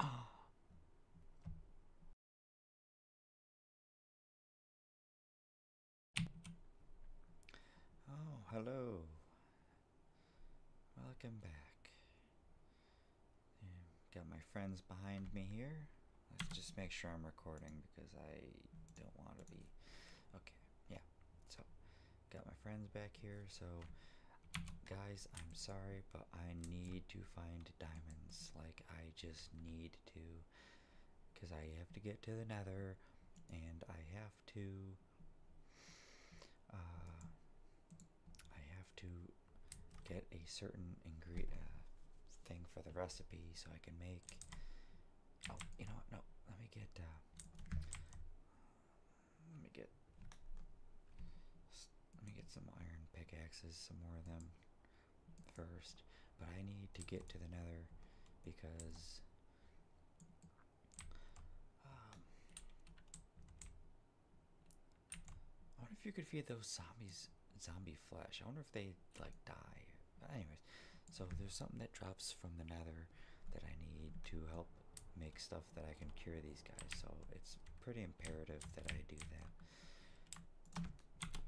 oh, hello. Welcome back. Got my friends behind me here. Let's just make sure I'm recording because I don't want to be. Okay, yeah. So, Got my friends back here, so guys, I'm sorry, but I need to find diamonds. Like, I just need to. Because I have to get to the nether, and I have to. Uh, I have to get a certain ingredient uh, thing for the recipe so I can make. Oh, you know what? No, let me get. Uh, let me get let me get some iron pickaxes, some more of them first. But I need to get to the nether because um, I wonder if you could feed those zombies zombie flesh. I wonder if they like die. But anyways, so there's something that drops from the nether that I need to help make stuff that I can cure these guys, so it's pretty imperative that I do that.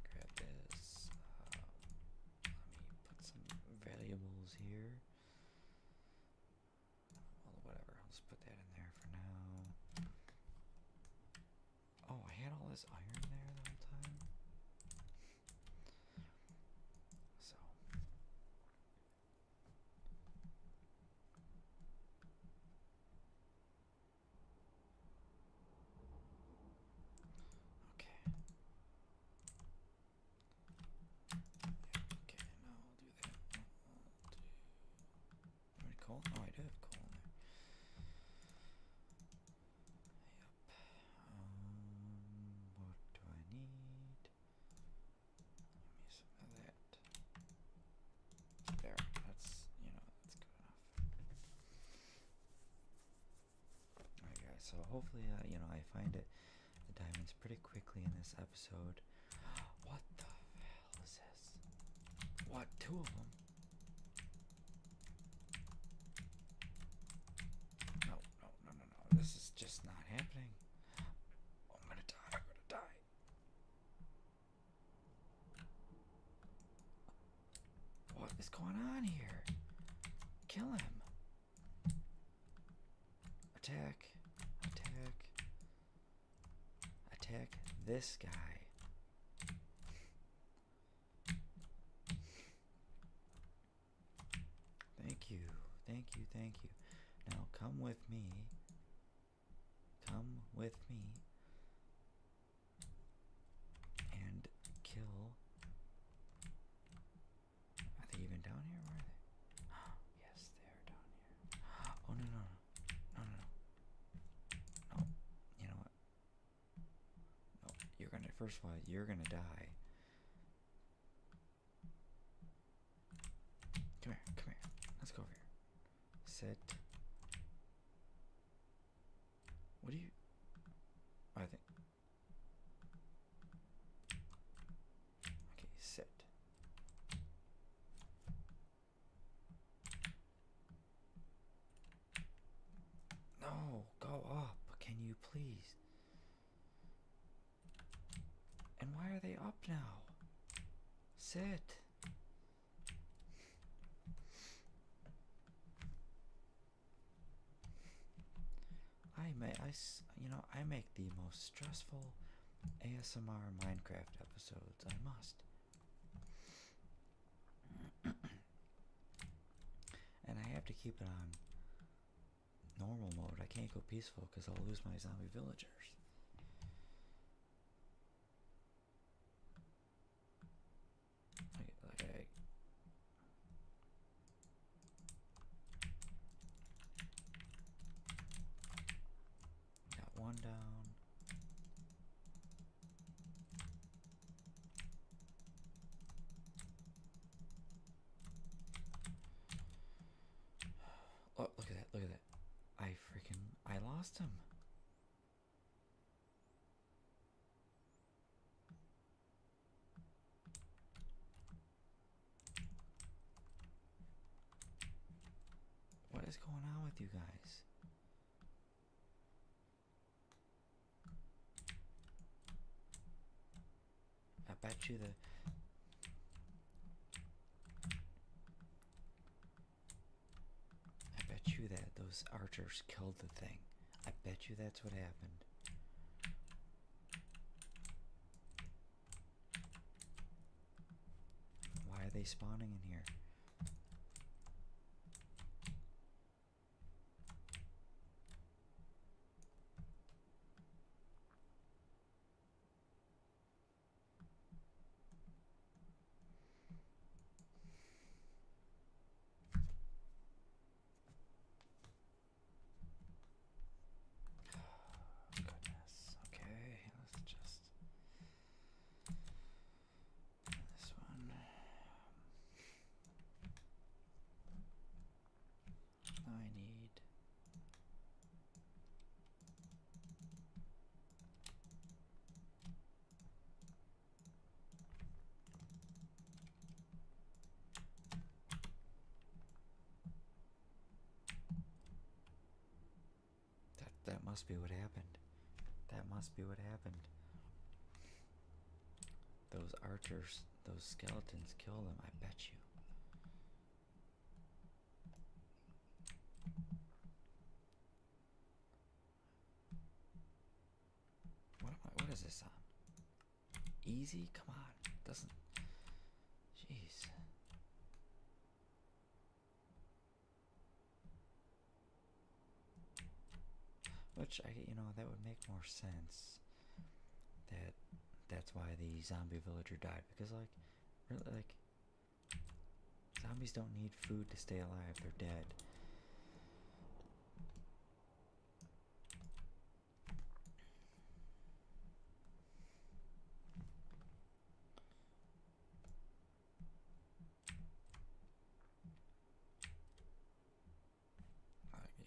Grab this. Uh, let me put some valuables here. whatever, I'll just put that in there for now. Oh, I had all this iron there the whole time. So, Okay. Okay, now I'll do that. do. Already coal? Oh, I do have coal Yep. Um, what do I need? There, that's, you know, that's good enough. Alright guys, so hopefully, uh, you know, I find it, the diamonds pretty quickly in this episode. What the hell is this? What, two of them? No, no, no, no, this is just not happening. I'm gonna die. I'm gonna die. What is going on here? Kill him. Attack. Attack. Attack this guy. Thank you. Thank you. Thank you. Now come with me. Come with me. And kill. Are they even down here? are they? Oh, yes, they are down here. Oh, no, no, no. No, no, no. No. You know what? No, you're gonna, first of all, you're gonna die. Come here, come here. Let's go over here. Set. What do you. I think. Okay, Set. No, go up. Can you please? And why are they up now? Sit. I may I you know I make the most stressful ASMR Minecraft episodes. I must. and I have to keep it on normal mode. I can't go peaceful because I'll lose my zombie villagers. Like, Got one down. Oh, look at that, look at that. I freaking, I lost him. What is going on with you guys? I bet you the I bet you that those archers killed the thing. I bet you that's what happened. Why are they spawning in here? Oh, goodness. Okay, let's just this one. I need that that must be what happened. That must be what happened. Those archers, those skeletons killed them, I bet you. What What is this on? Easy? Come on! Doesn't. Jeez. Which I, you know, that would make more sense. That that's why the zombie villager died because like Really, like, zombies don't need food to stay alive, they're dead. Uh, yeah.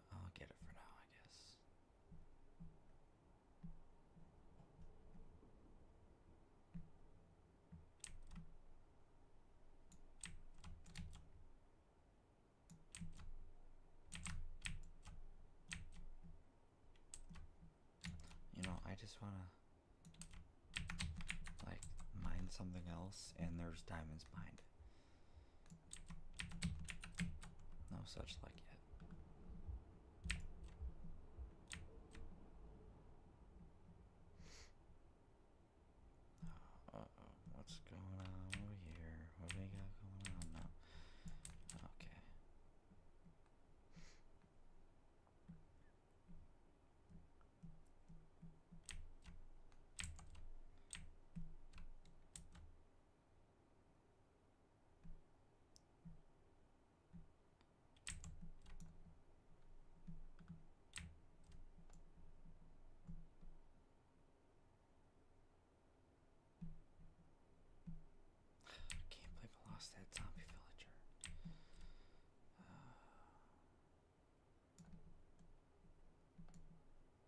I'll get it for now, I guess. You know, I just want to like mine something else, and there's diamonds behind no such luck yet. Uh oh, what's going on over here? What we got going on now? Okay. I can't believe I lost that zombie villager. Uh,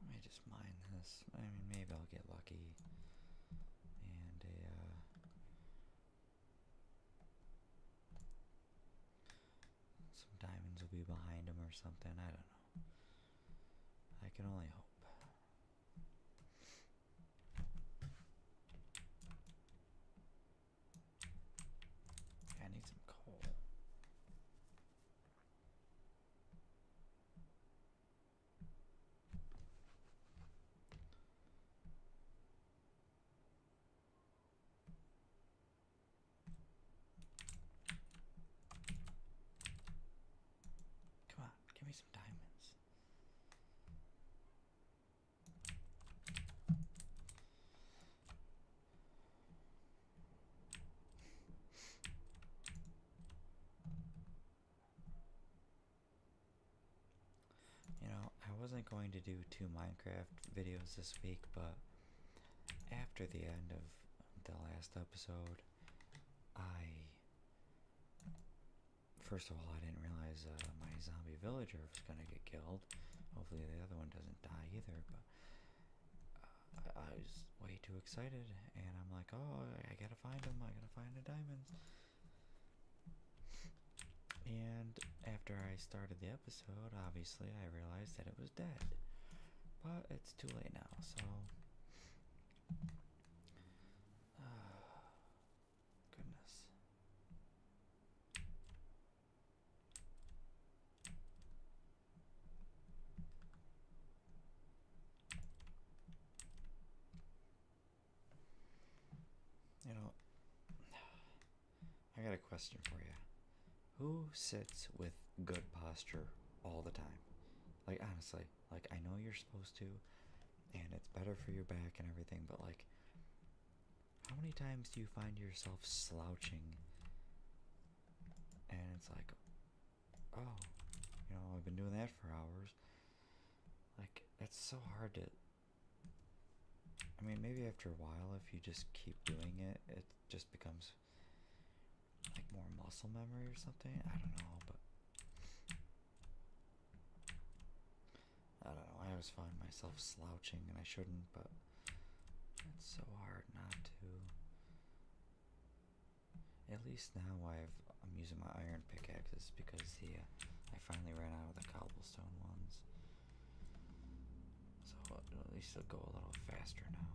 Let me just mine this. I mean, maybe I'll get lucky. And a uh, some diamonds will be behind him or something. I don't know. I can only hope. I need some coal. Come on, give me some diamonds. You know, I wasn't going to do two Minecraft videos this week, but after the end of the last episode, I. First of all, I didn't realize uh, my zombie villager was gonna get killed. Hopefully, the other one doesn't die either, but. Uh, I, I was way too excited, and I'm like, oh, I gotta find him, I gotta find the diamonds. And after I started the episode, obviously I realized that it was dead. But it's too late now, so. goodness. You know, I got a question for you. Who sits with good posture all the time? Like, honestly, like, I know you're supposed to, and it's better for your back and everything, but like, how many times do you find yourself slouching? And it's like, oh, you know, I've been doing that for hours. Like, it's so hard to I mean, maybe after a while, if you just keep doing it, it just becomes like more muscle memory or something. I don't know, but I don't know. I always find myself slouching, and I shouldn't, but it's so hard not to. At least now I've I'm using my iron pickaxes because yeah, I finally ran out of the cobblestone ones. So at least they will go a little faster now.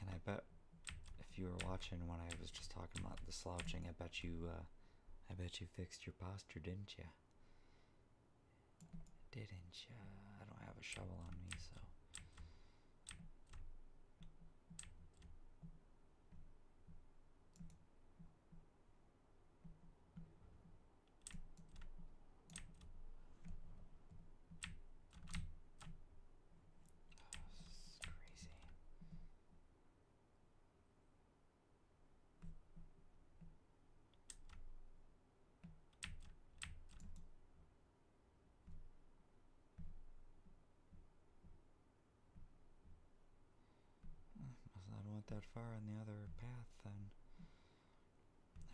And I bet if you were watching when I was just talking about the slouching, I bet you, uh, I bet you fixed your posture, didn't you? Didn't you? I don't have a shovel on me, so this is crazy. I don't want that far on the other path, then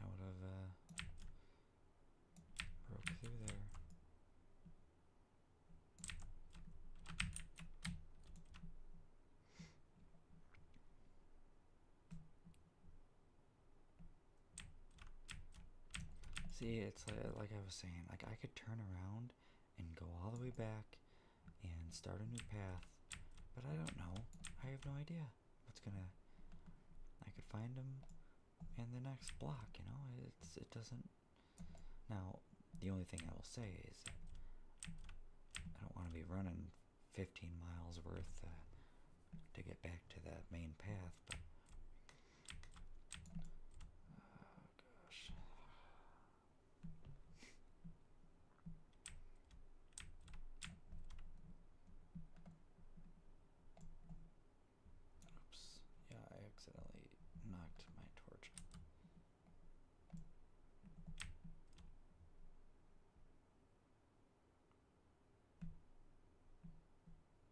I would have uh, broke through there. See, it's uh, like I was saying, like I could turn around and go all the way back and start a new path, but I don't know. I have no idea what's gonna. I could find them in the next block, you know? It's It doesn't. Now, the only thing I will say is I don't want to be running 15 miles worth uh, to get back to the main path, but Oops. Yeah, I accidentally knocked my torch.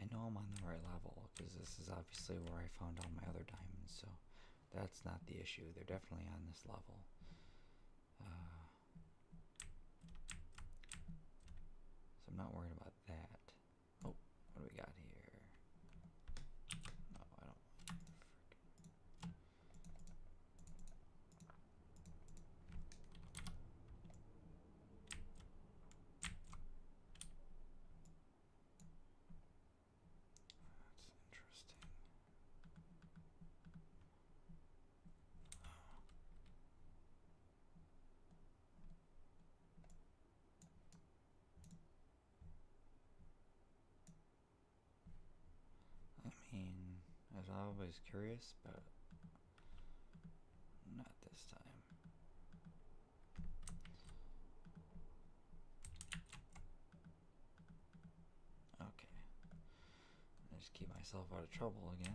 I know I'm on the right level because this is obviously where I found all my other diamonds, so that's not the issue. They're definitely on this level. Uh, so I'm not worried about that. Oh, what do we got here? No, I don't. That's interesting. I mean, I was always curious, but not this time. Okay. i just keep myself out of trouble again.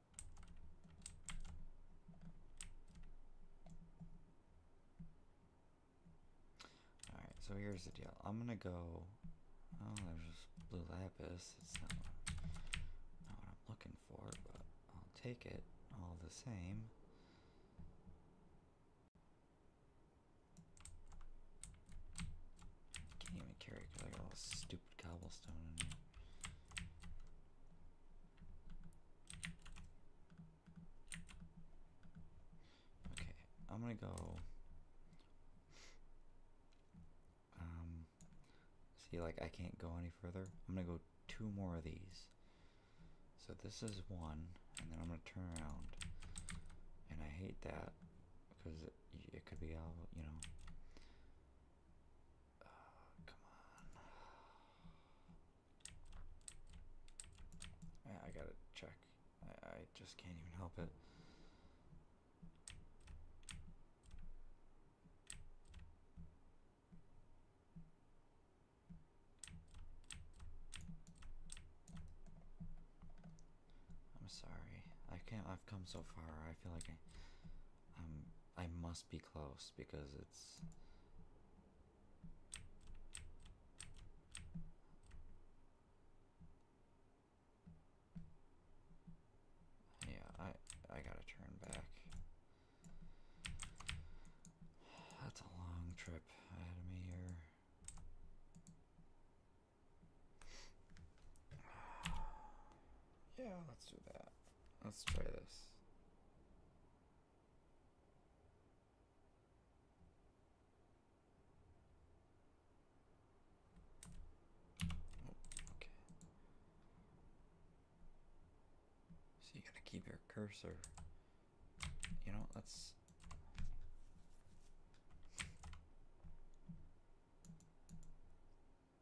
Alright, so here's the deal. I'm gonna go. Oh, there's just blue lapis. It's not, what I'm looking for, but I'll take it all the same. Can't even carry because I got all stupid cobblestone Okay, I'm gonna go. Um, see, like I can't go any further. I'm gonna go two more of these. So this is one, and then I'm gonna turn around. And I hate that because it, it could be all you know. Oh, come on. I, gotta check. I, I just can't even help it. I'm sorry. I can't. I've come so far. I feel like I'm. I must be close because it's yeah I I gotta turn back that's a long trip ahead of me here Yeah, let's do that. Let's try this. okay. So you gotta keep your cursor. You know, let's no, okay.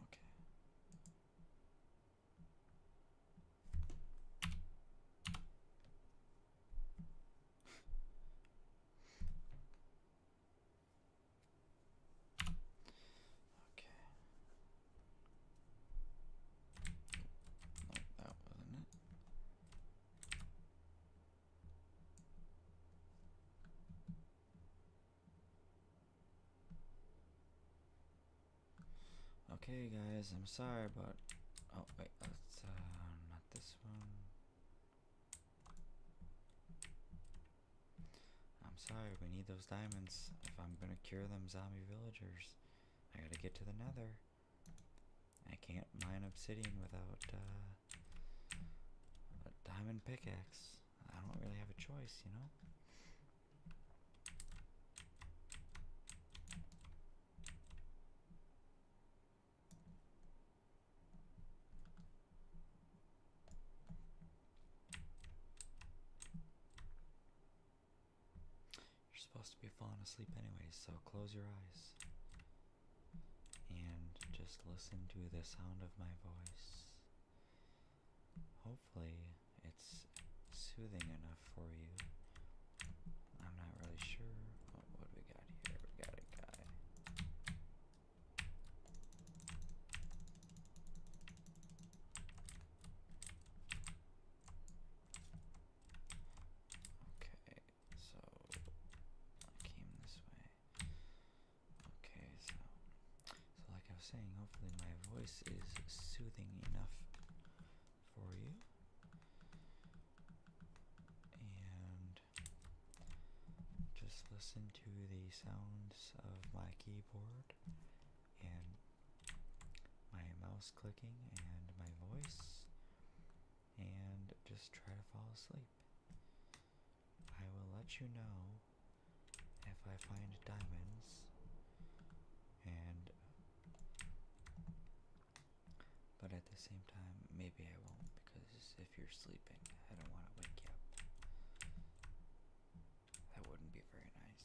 okay. that wasn't it. Okay, guys, I'm sorry, but oh wait, that's uh, not this one. I'm sorry, we need those diamonds if I'm gonna cure them zombie villagers. I gotta get to the Nether. I can't mine obsidian without uh, a diamond pickaxe. I don't really have a choice, you know? You're supposed to be falling asleep anyway, so close your eyes and just listen to the sound of my voice. Hopefully, it's soothing enough for you. I'm not really sure. what do we got here? We got a guy. Okay, so I came this way. Okay, so so like I was saying, hopefully my voice is soothing enough for you. And just listen to the sounds of my keyboard and my mouse clicking and my voice and just try to fall asleep. I will let you know if I find diamonds and but at the same time maybe I won't because if you're sleeping I don't want to wake you up. That wouldn't be very nice.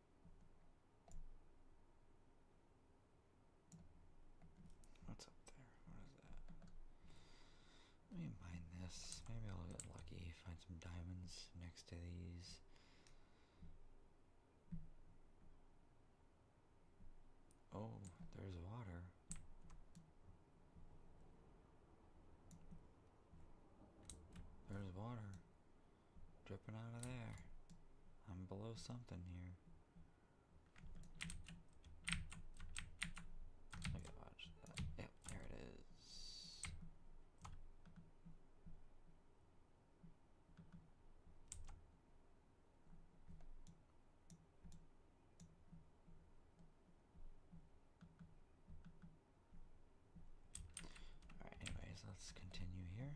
What's up there? What is that? Let me mine this. Maybe I'll get lucky, find some diamonds next to these. Oh, there's water. There's water dripping out of there. I'm below something here. I gotta Yep, there it is. Alright, anyways, let's continue here.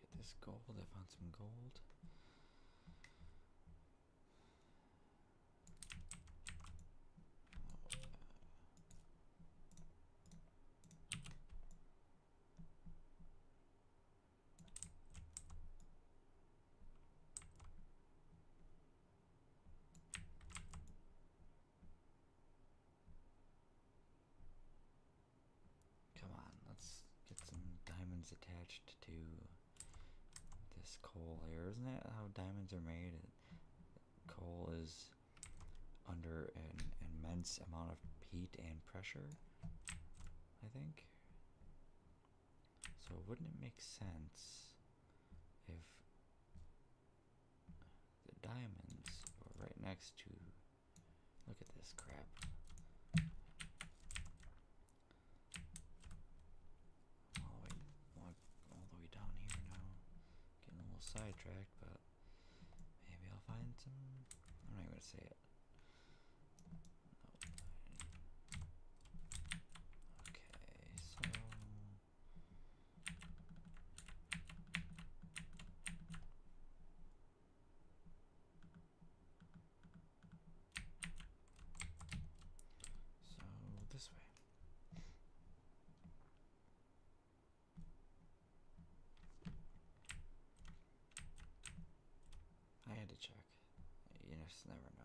Get this gold. I found some gold. Come on, let's get some diamonds attached to this coal here. Isn't that how diamonds are made? Coal is under an immense amount of heat and pressure, I think. So wouldn't it make sense if the diamonds were right next to Look at this crap. All the way, down here now. Getting a little sidetracked, but maybe I'll find some. I'm not even gonna say it. Okay, so so this way. I had to check. You just never know.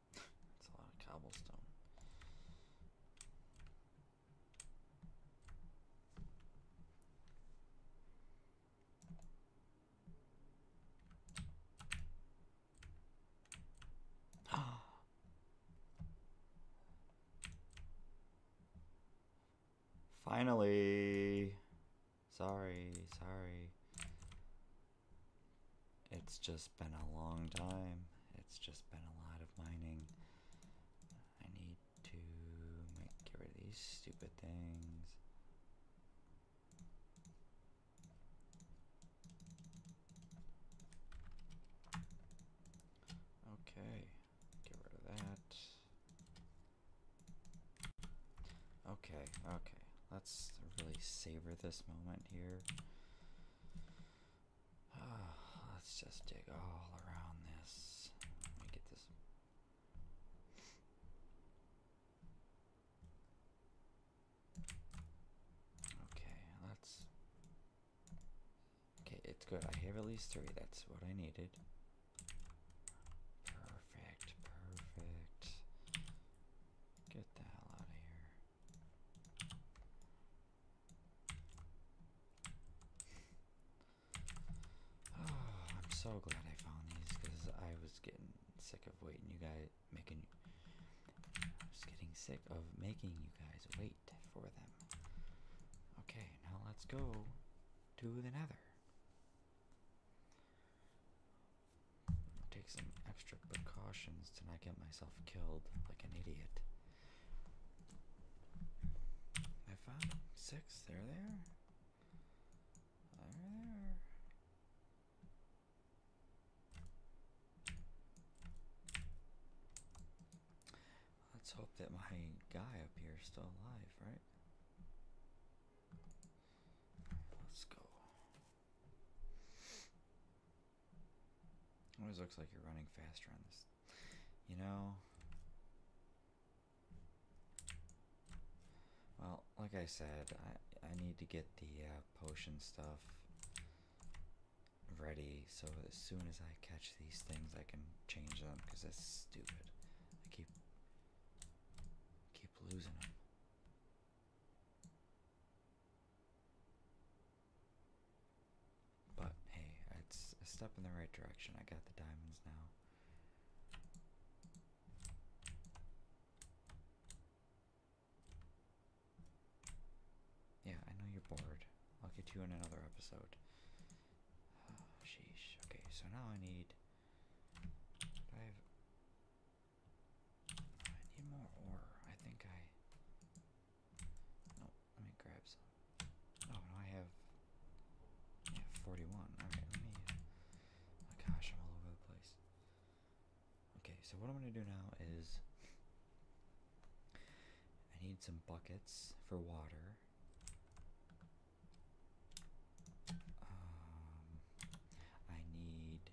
It's a lot of cobblestone. Finally. Sorry, sorry. It's just been a long time. It's just been a lot of mining. I need to get rid of these stupid things. Okay, get rid of that. Okay, okay, let's really savor this moment here. Uh, let's just dig all around this. Let me get this. Okay, let's. Okay, it's good. I have at least three. That's what I needed. Perfect, perfect. Get the hell out of here. Ah, I'm so glad I found these because I was getting sick of waiting. You guys making. I was getting sick of making you guys wait for them. Okay, now let's go to the Nether. Take some extra precautions to not get myself killed like an idiot. I six. There they are. There Let's hope that my guy up here is still alive, right? Let's go. Always looks like you're running faster on this. You know. Well, like I said, I I need to get the uh, potion stuff ready so as soon as I catch these things, I can change them because that's stupid. I keep keep losing them. But hey, it's a step in the right direction. I got the diamonds now. Yeah, I know you're bored. I'll get you in another episode. sheesh. Okay, so now I need. I have. I need more ore. I think I. No, let me grab some. Oh, no, I have, I have 41. Alright, let me, oh gosh, I'm all over the place. Okay, so what I'm going to do now is I need some buckets for water. Um, I need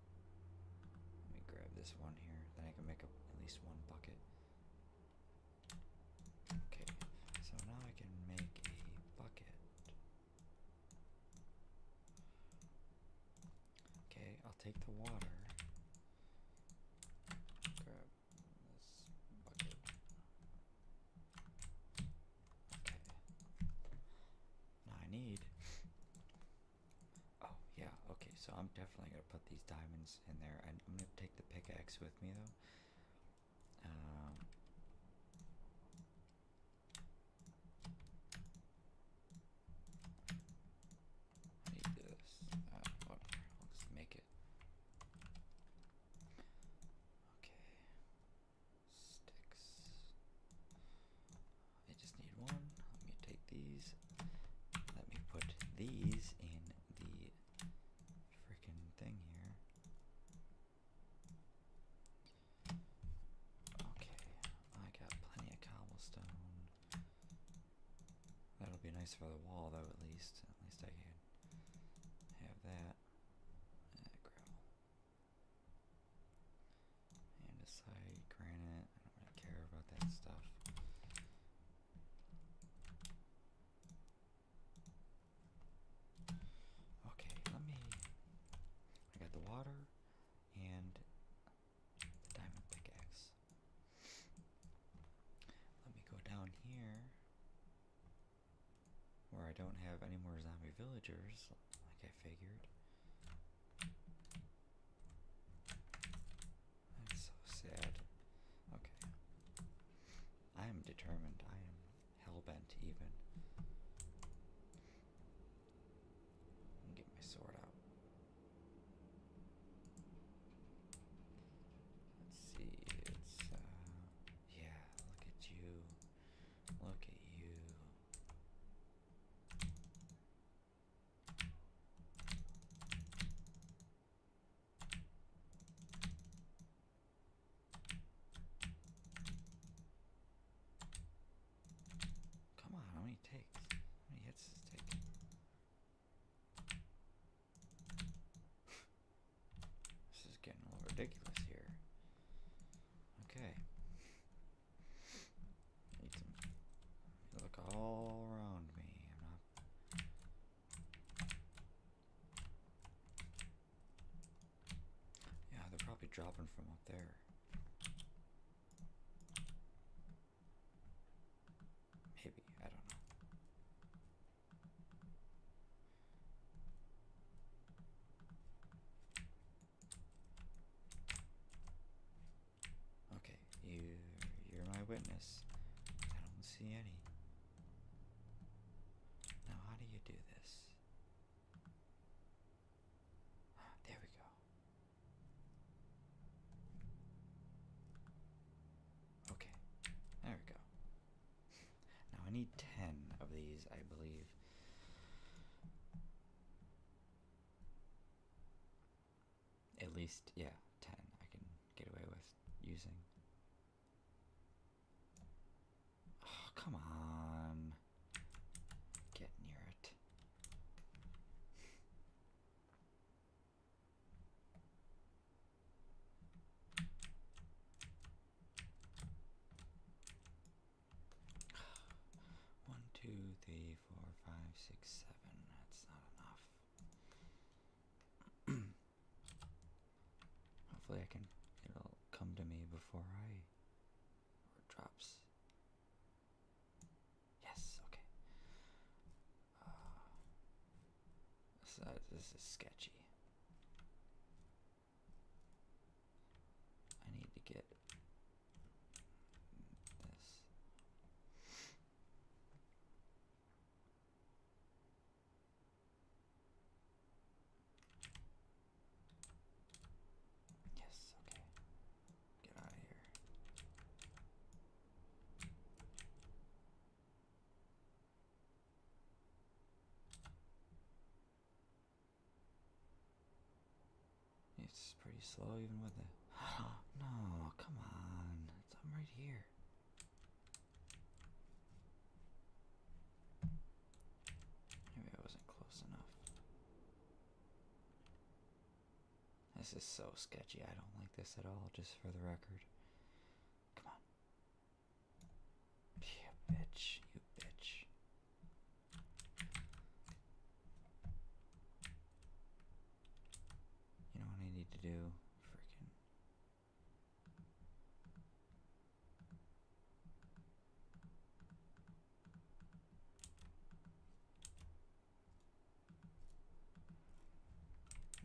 let me grab this one here. Then I can make at least one bucket. Okay, so now I can make a bucket. Okay, I'll take the water. Grab this bucket. Okay. Now I need Oh, yeah, okay, so I'm definitely gonna put these diamonds in there. I'm gonna take the pickaxe with me, though. Um, I this. Uh, whatever. i make it. Okay. Sticks. I just need one. Let me take these. Let me put these in the freaking thing here. Okay, I got plenty of cobblestone. That'll be nice for the wall, though, at least. At least I can have that. Uh, gravel. Andesite, granite. I don't care about that stuff. Okay, let me. I got the water and the diamond pickaxe. Let me go down here where I don't have any more zombie villagers, like I figured. That's so sad. Okay. I am determined. I am hellbent even. get my sword out. Let's see, it's uh, yeah, look at you. Look at you. Come on, how many takes? How many hits this is getting a little ridiculous here. Okay. Look all around me. Yeah, they're probably dropping from up there. Maybe, I don't know. Okay, you you're my witness. I don't see any. Now how do you do this? There we go. Okay, there we go. now I need ten of these, I believe at least yeah 10 I can get away with using oh, come on get near it One, two, three, three, four, five, six, seven. That's not enough. Hopefully, I can. It'll come to me before I. drops. Yes. Okay. Uh, uh, this is sketchy. I need to get this. Yes, okay. Get out of here. It's pretty slow even with it. no, come on. It's, I'm right here. Maybe I wasn't close enough. This is so sketchy. I don't like this at all, just for the record. Come on. You bitch. You bitch. You know what I need to do? Freaking.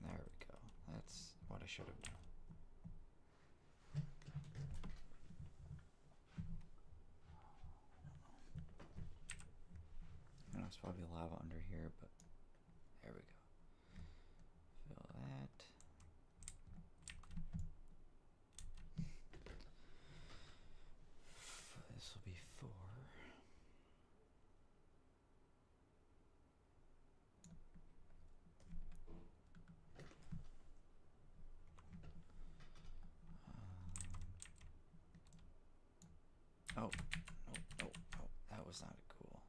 There we go. That's what I should have done. I know it's probably lava under here, but there we go. Fill that. This will be four. Um, Oh, oh, oh, oh, that was not cool.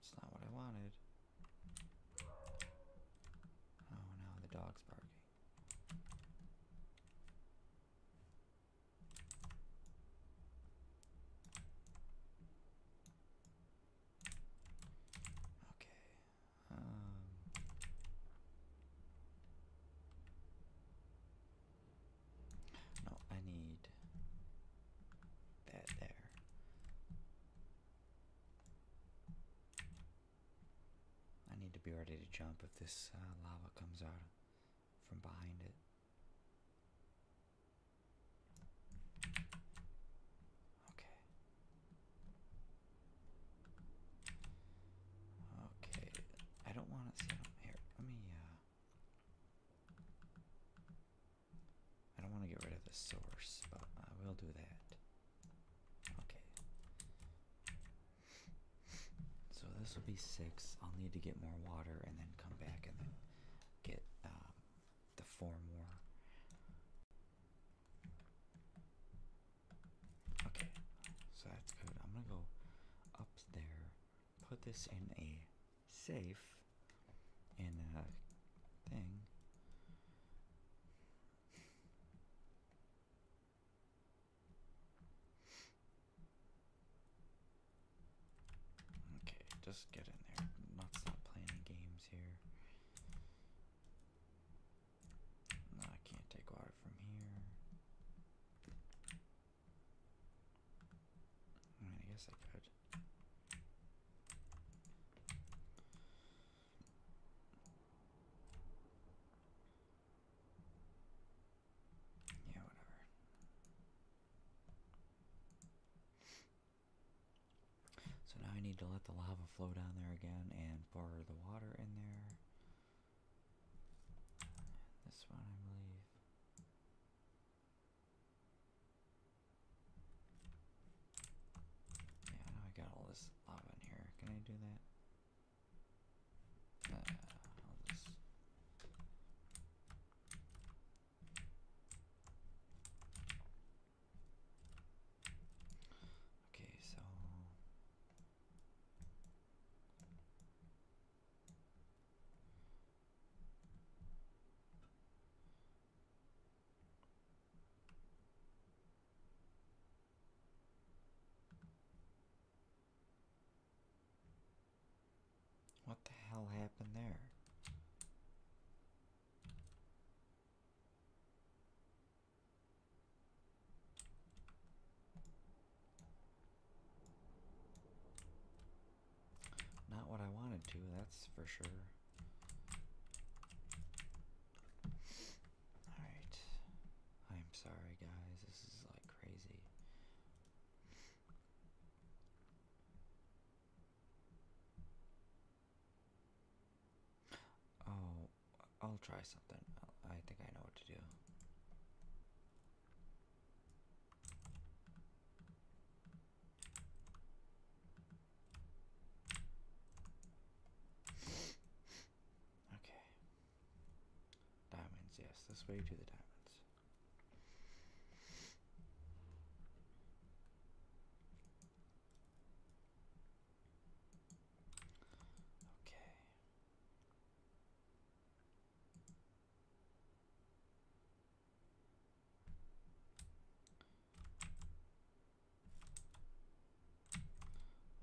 It's not what I wanted. Oh, now the dog's barking. Okay, um, no, I need that there. I need to be ready to jump if this uh, lava comes out from behind it. Okay. Okay. I don't want to sit on here. Let me, uh, I don't want to get rid of the source, but I will do that. Okay. So this will be six. I'll need to get more water and then come back and then get um, the four more. Okay, so that's good. I'm gonna go up there, put this in a safe, in a uh, thing. Okay, just get in there. not play any games here. I can't take water from here. I mean, I guess I could. Yeah, whatever. So now I need to let the lava flow down there again and pour the water in there. This one, I believe. Yeah, I got all this lava in here. Can I do that? Uh, Okay, so what the hell happened there? Not what I wanted to, that's for sure. Alright. I'm sorry, guys. This is like crazy. Oh, I'll try something. I think I know what to do. Okay. Diamonds, yes, this way to the diamonds. Okay.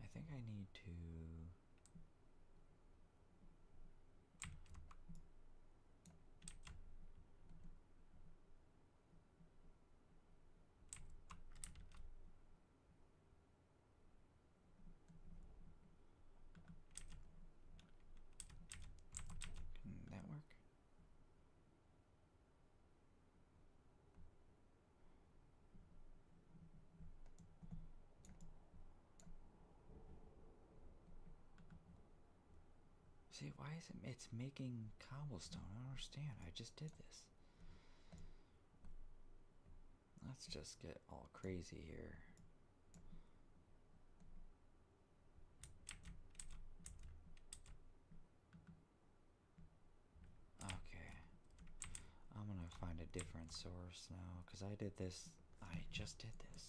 I think I need to can that work? See, why is it? It's making cobblestone. I don't understand. I just did this. Let's just get all crazy here. Okay. I'm going to find a different source now because I did this. I just did this.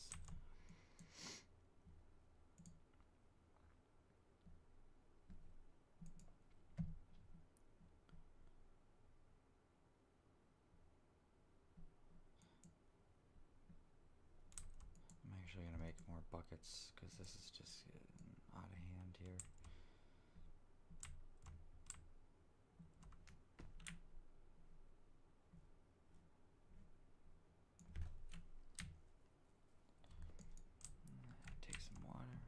I'm actually going to make more buckets because this is just out of hand here. Take some water.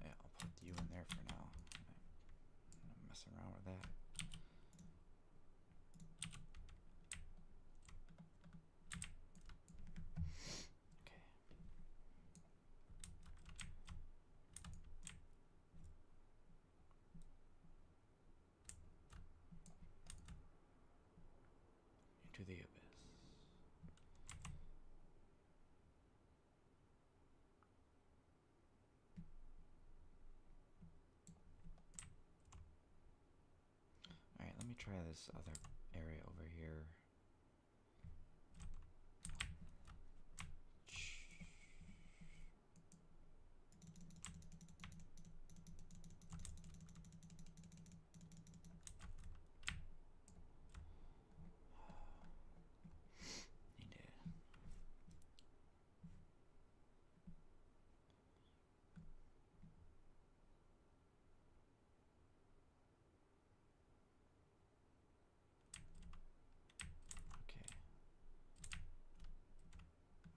yeah, I'll put you in there for now. i around with that. Into the abyss. Alright, let me try this other area over here. Need to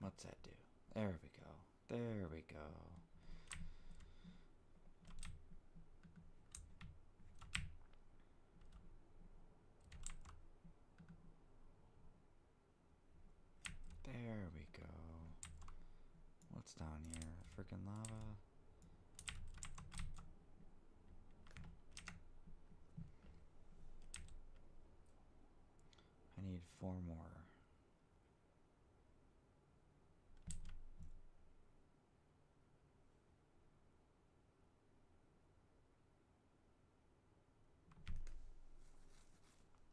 Okay. What's that do? There we go. There we go. There we go. What's down here? Freaking lava. I need four more.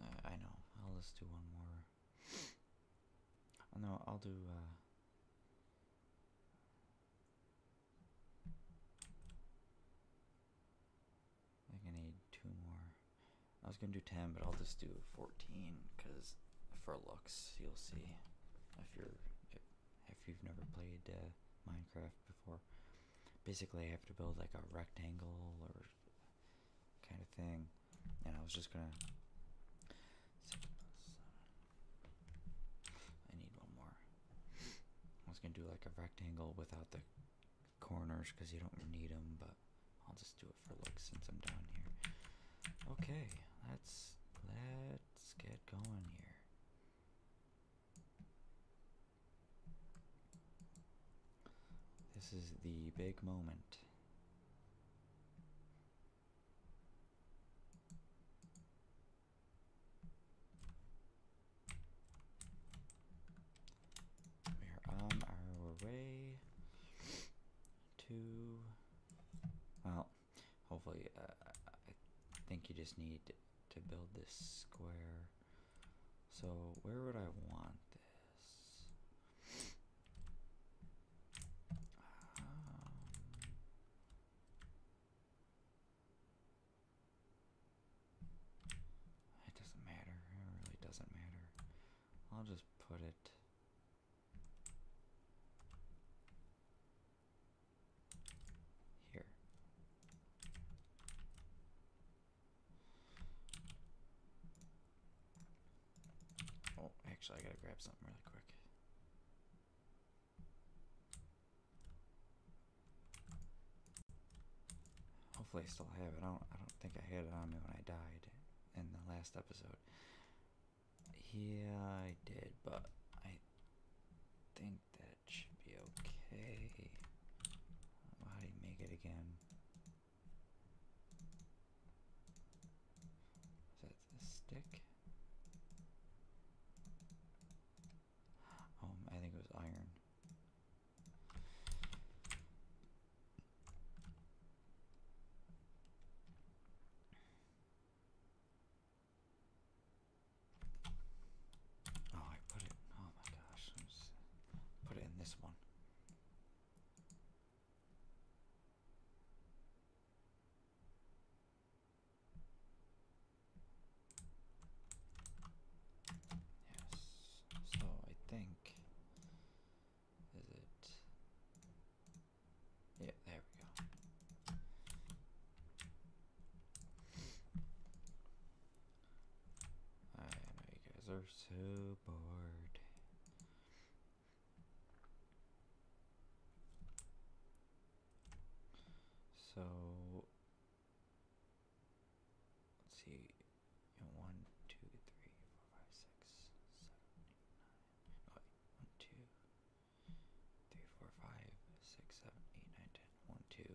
Uh, I know. I'll just do one more. Oh, no, I'll do. Uh, I think I need two more. I was gonna do ten, but I'll just do fourteen because for looks, you'll see. If you're if you've never played uh, Minecraft before basically I have to build like a rectangle or kind of thing. And I was just gonna. I need one more. I was gonna do like a rectangle without the corners because you don't need them, but I'll just do it for looks since I'm down here. Okay, let's let's get going here. This is the big moment. We're on our way to. Well, hopefully, uh, I think you just need to build this square so where would I want this? Um, it doesn't matter. It really doesn't matter. I'll just put it. Here. Oh, actually, I gotta grab something really quick. Hopefully, I still have it. I don't. I don't think I had it on me when I died in the last episode. Yeah, I did, but I think that should be okay. How do you make it again? Is that the stick? Um, I think it was iron. Oh, I put it. Oh my gosh! put it in this one. Yes. So I think is it. Yeah, there we go. I know you guys are so bored. So let's see. One, two, three, four, five, six, seven, nine. 12345678910 one, two, three, four, five, six, seven, eight, nine, ten. One, two,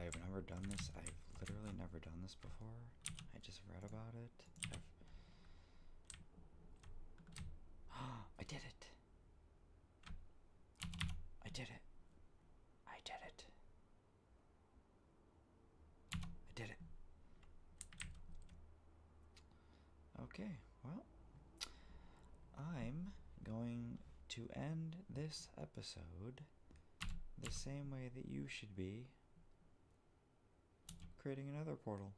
I've never done this. I've literally never done this before. I just read about it. I did it. I did it. I did it. I did it. Okay, well, I'm going to end this episode the same way that you should be creating another portal.